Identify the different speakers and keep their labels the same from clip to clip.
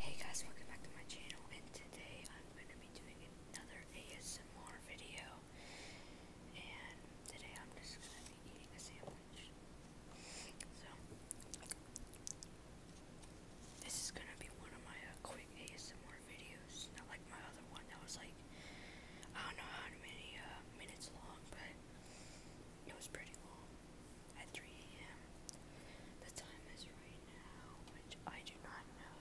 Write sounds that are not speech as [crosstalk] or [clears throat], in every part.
Speaker 1: Hey guys, welcome back to my channel, and today I'm going to be doing another ASMR video, and today I'm just going to be eating a sandwich, so, this is going to be one of my uh, quick ASMR videos, not like my other one that was like, I don't know how many uh, minutes long, but it was pretty long at 3 a.m. The time is right now, which I do not know.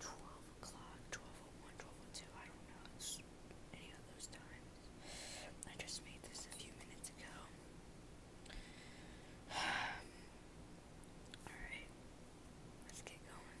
Speaker 1: 12 o'clock, 12.01, I don't know any of those times. I just made this a few minutes ago. [sighs] Alright, let's get going.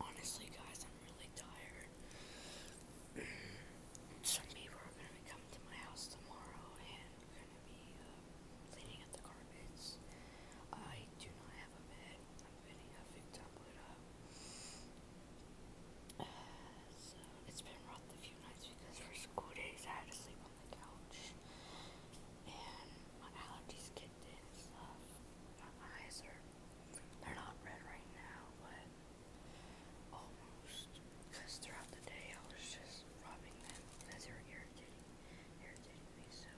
Speaker 1: Honestly, guys, I'm really tired. [clears throat] Some people are gonna come to my house tomorrow and we're gonna be uh, cleaning up the carpets. I do not have a bed. I'm getting a big tablet up. [sighs] so it's been rough a few nights because for school days I had to sleep on the couch. And my allergies get in and stuff. My eyes are, they're not red right now, but almost. Because throughout the day I was just rubbing them as they were irritating, irritating me. So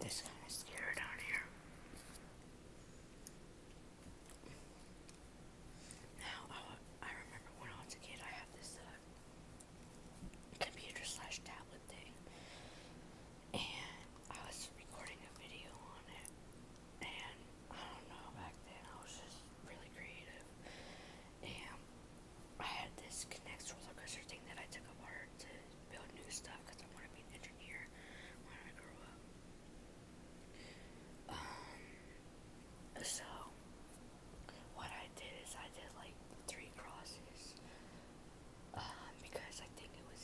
Speaker 1: This kind of scared down here. Now, I, remember when I was a kid, I had this uh, computer slash tablet thing, and I was recording a video on it. And I don't know, back then I was just really creative, and I had this Connects roller coaster thing that I took apart to build new stuff because I want to be an engineer when I grow up. Um, so what I did is I did like three crosses um, because I think it was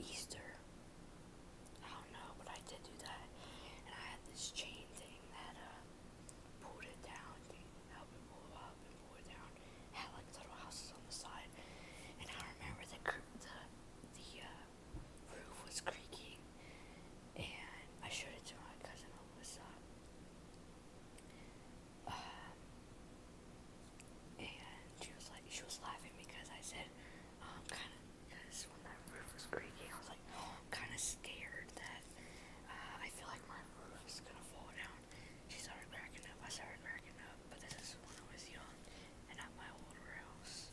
Speaker 1: Easter. I don't know, but I did do that, and I had this chain thing that uh, pulled it down up and move up and move down. Had like little houses on the side, and I remember the the the uh, roof was creaking, and I showed it to my cousin Alyssa. Um, and she was like, she was laughing because I said, um, kind of, because when that roof was creaking, I was like, oh, kind of scared that uh, I feel like my roof is gonna fall down. She started cracking up. I started cracking up. But this is when I was young and at my older house.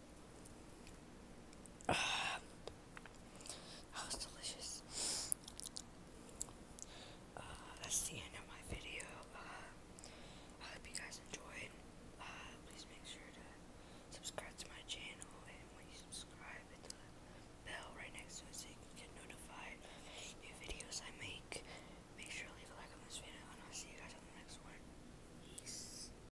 Speaker 1: Ah. Oh, that was delicious. Ah, that's the end of my video. Ah, I hope you guys enjoyed. please make sure to subscribe to my channel, and when you subscribe, hit the bell right next to it so you can get notified new videos I make. Make sure leave a like on this video, and I'll see you guys on the next one. Peace.